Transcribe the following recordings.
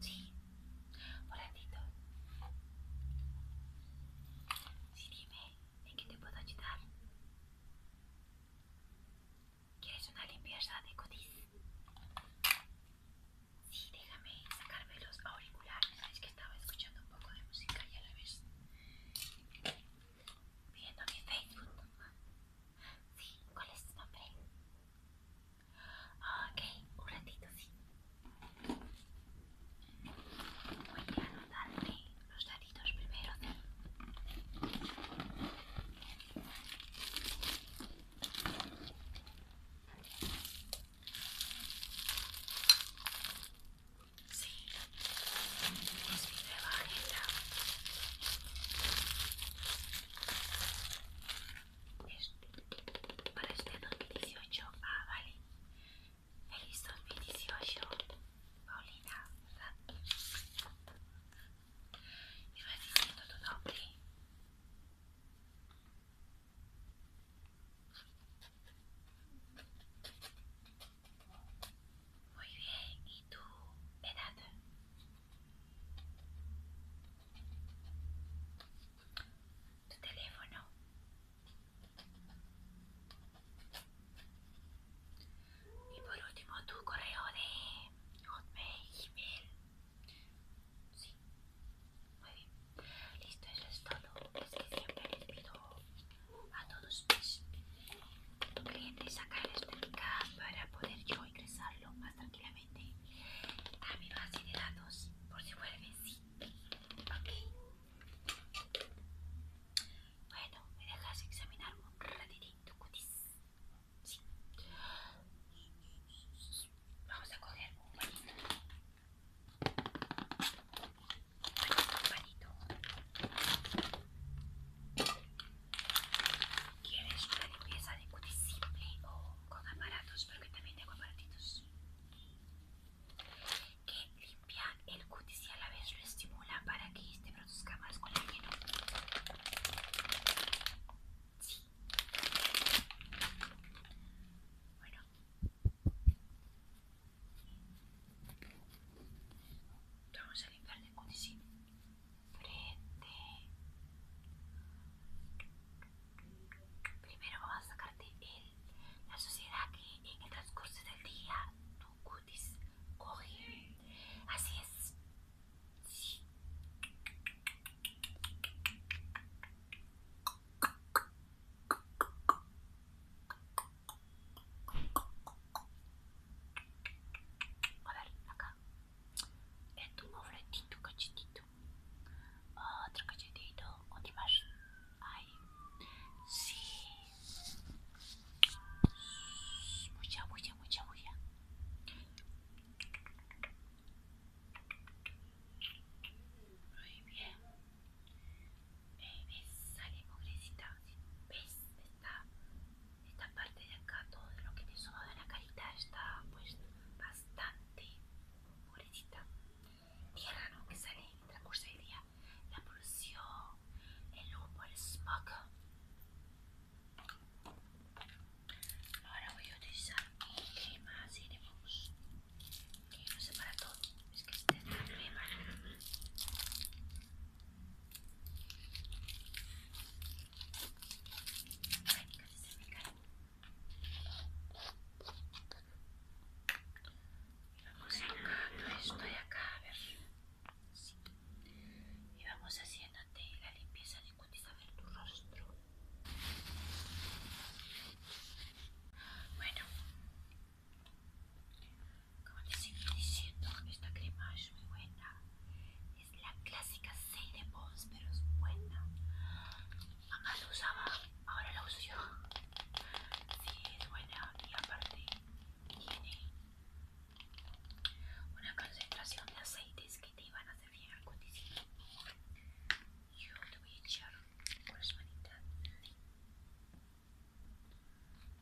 Sí, un ratito. Sí, dime, ¿en qué te puedo ayudar? ¿Quieres una limpieza de codice, Sí, déjame sacarme los auriculares. Es que estaba escuchando un poco de música y a la vez viendo mi Facebook. Sí, ¿cuál es tu nombre? Ok, un ratito, sí. Voy a anotar los daditos primero, ¿sí? Sí, es mi nueva agenda para este 2018. Ah, vale. Feliz 2018, Paulina, ¿verdad? Y me tu Muy bien, ¿y tú, edad? tu teléfono. Y por último, tu correo de Hotmail, email Sí, muy bien. Listo, eso es todo. Es que siempre les pido a todos mis clientes y sacar este link para poder yo ingresarlo más tranquilamente a mi base de datos por si vuelve sí. Ok. Bueno, me dejas examinar un ratito, cutis. Sí. Vamos a coger un palito. Un palito. ¿Quieres una limpieza de cutis simple o con aparatos, porque también tengo aparatitos que limpia el cutis y a la vez lo estimula para que este produzca más colágeno. Sí. Bueno. Vamos a limpiar el cutis. Frente. Primero vamos a sacarte el, la suciedad que en el transcurso del día tu cutis coge. Así es. A ver, acá es tu mofletito cachetito otro cachetito otro más ay sí mucha bulla mucha bulla muy bien eh, ves sale pobrecita ves esta, esta parte de acá todo lo que te sobaba de la carita está pues bastante pobrecita tierra ¿no? que sale en el día la polución el humo el smog ahora voy a utilizar mi crema cinemus que no sé para todo es que este es el crema Ay, casi se me cae y vamos acá, estoy acá, a ver. Y vamos haciéndote la limpieza de cutis a ver tu rostro. Bueno, como te sigo diciendo, esta crema es muy buena. Es la clásica 6 de Pons, pero es buena. Mamá lo usaba, ahora la uso yo. Sí, es buena y aparte tiene una concentración de aceites que te van a hacer bien al Yo te voy a echar por las manitas.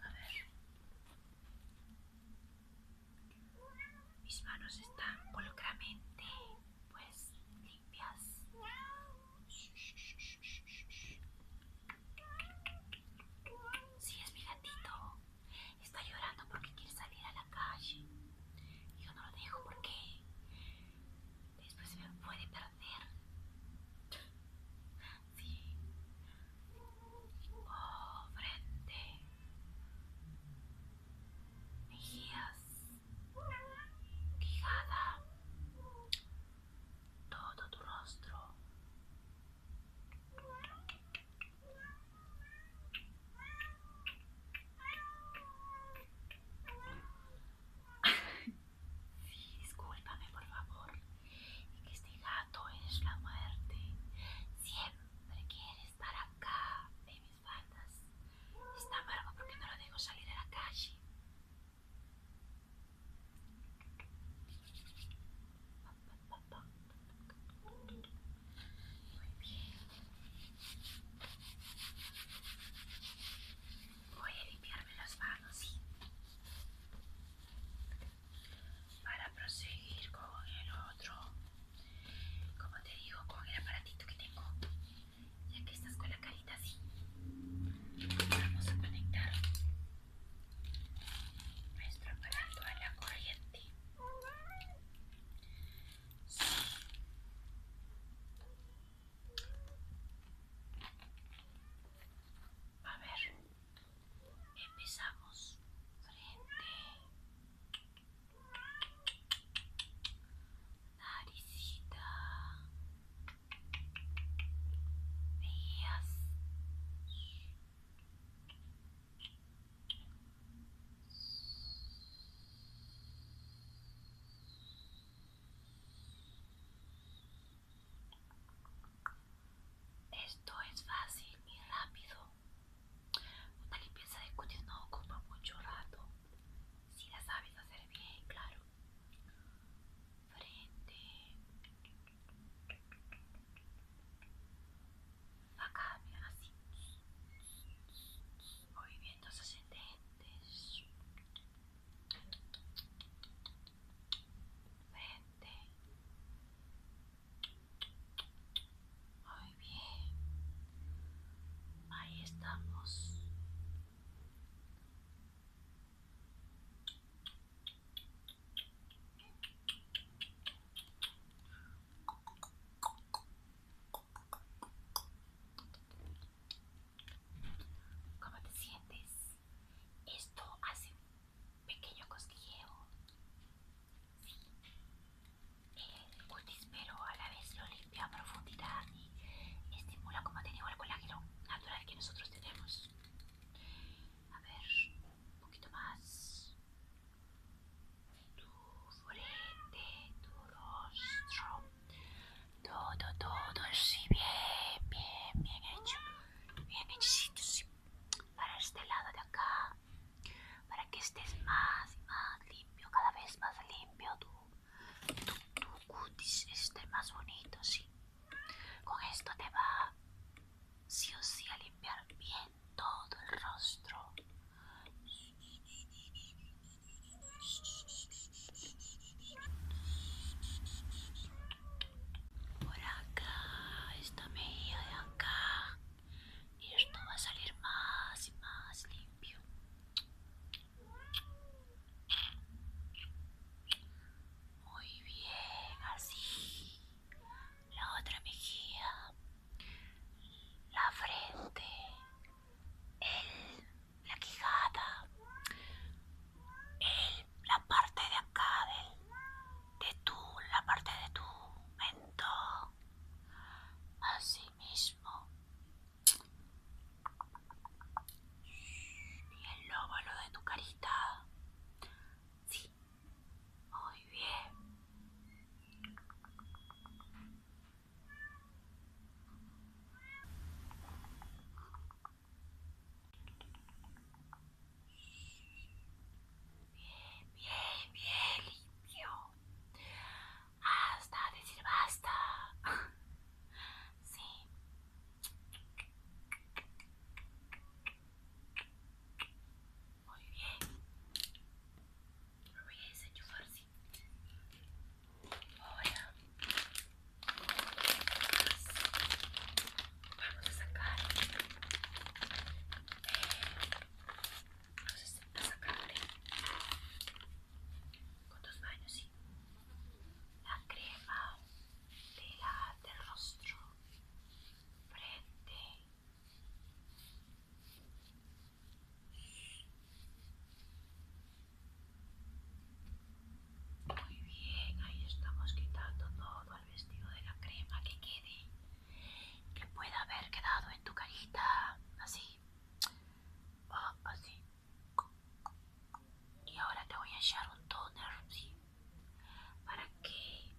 A ver. Mis manos están pulcramente pues limpias. Sí, es mi gatito. Está llorando porque quiere salir a la calle. Yo no lo dejo porque después se me puede perder. Sí. Oh, frente ligada todo tu rostro sí, discúlpame por favor que este gato es la muerte siempre quiere estar acá Está amargo porque no lo dejo salir a la calle. Muy bien. Voy a limpiarme las manos, Para proseguir con el otro como te digo con el aparatito que tengo ya que estás con la carita así vamos a conectar nuestro aparato a la corriente a ver empezamos frente naricita esto es fácil y rápido una limpieza de cutis no ocupa mucho rato, si la sabes hacer bien, claro. Frente. Acá, mira, así. Movimientos ascendentes. Frente. Muy bien. Ahí estamos. ¿Cómo te sientes? Esto hace pequeño cosquilleo eh, pero a la vez lo limpia a profundidad y estimula, como te el colágeno natural que nosotros tenemos. A ver, un poquito más. Tu frente, tu rostro. Todo, todo, sí, bien, bien, bien hecho. Bien sí sí. Para este lado de acá para que estés más y más limpio, cada vez más limpio tu, cutis esté más bonito, sí. Con esto te va sí o sí a limpiar bien todo el rostro. Por acá, está medio de acá y esto va a salir más y más limpio muy bien así la otra mejilla la frente el, la quijada el, la parte de acá del, de tú la parte de tu mentón así mismo. Y el óvalo de tu carita. Sí. Muy bien. Bien, bien, bien limpio hasta decir basta. Sí. Muy bien. Lo voy a vamos a sacar eh, entonces las sacando con dos baños, sí. La crema de la, del rostro, frente. Muy bien, ahí estamos quitando todo el vestido de la crema que quede, que pueda haber quedado en tu carita, así. Ah, y ahora te voy a echar un toner para que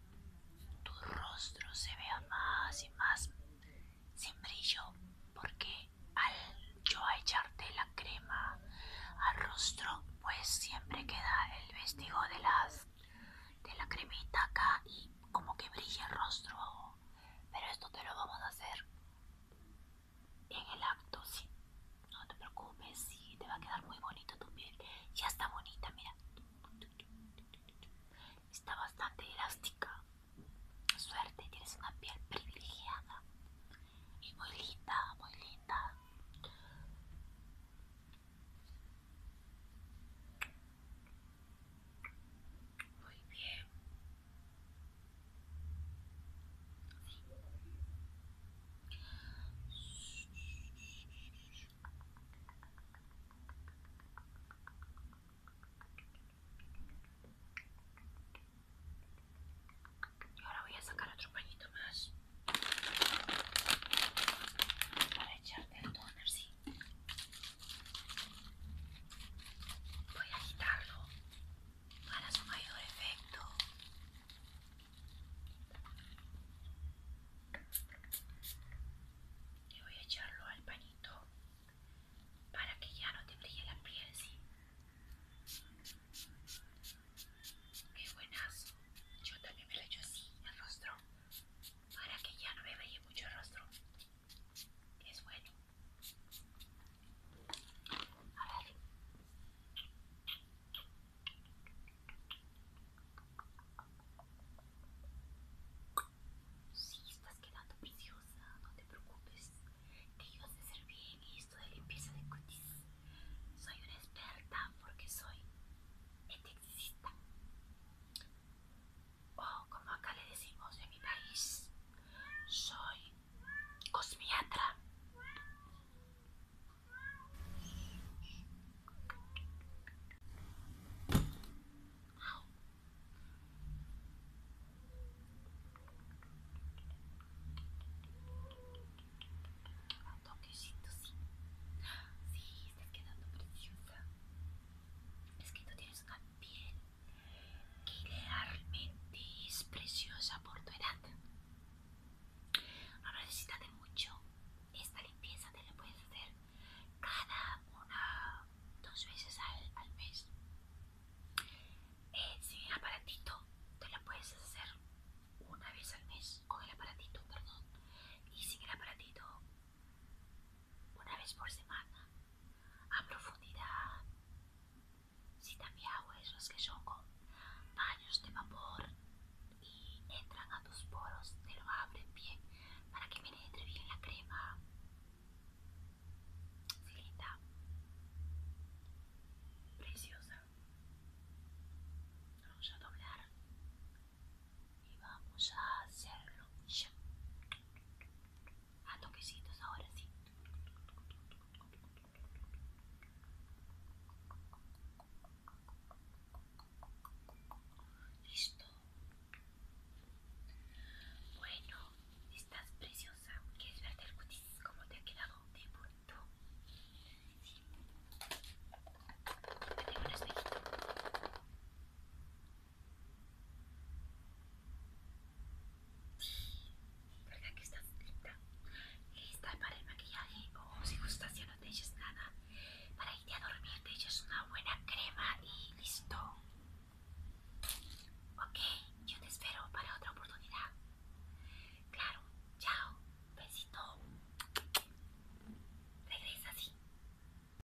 tu rostro se vea más y más sin brillo porque al yo echarte la crema al rostro pues siempre queda el vestigo de las de la cremita acá y como que brilla el rostro, pero esto te lo vamos a hacer en el acto, No te preocupes, te va a quedar muy bonito tu piel. Ya está bonita, mira. Está bastante elástica. Suerte, tienes una piel privilegiada y muy linda, muy linda. Muy bien. Y ahora voy a sacar otro pañito más para echarte el toner, sí. Voy a agitarlo para su mayor efecto. Y voy a echarlo al pañito para que ya no te brille la piel, sí. Qué buenazo. Yo también me lo echo así el rostro para que ya no me brille mucho el rostro es bueno. A ver. Sí, estás quedando preciosa, no te preocupes. Que yo sé hacer bien esto de limpieza de cutis. Soy una experta porque soy esteticista o oh, como acá le decimos en mi país, soy cosmiatra. A toquecito, sí. Sí, está quedando preciosa. Es que tú tienes una piel que realmente es preciosa por tu edad. No necesitas de mucho. Esta limpieza te la puedes hacer cada una, dos veces al, mes. Eh, sin el aparatito te la puedes hacer una vez al mes con el aparatito, perdón. Y sin el aparatito una vez por semana a profundidad. Si también hago los que son con baños de vapor y entran a tus poros, te lo abren bien para que entre bien la crema. Preciosa. Vamos a doblar y vamos a hacerlo ya. A toquecitos ahora sí. Listo. Bueno, estás preciosa. ¿Quieres verte el cutis? ¿Cómo te ha quedado de bonito? Sí. Tengo un espejito. ¿Verdad que estás lista? Lista para el maquillaje o oh, si gustas ya no te eches nada. Para irte a dormir te echas una buena crema y listo. Ok, yo te espero para otra oportunidad. Claro, chao, besito. Regresa, sí.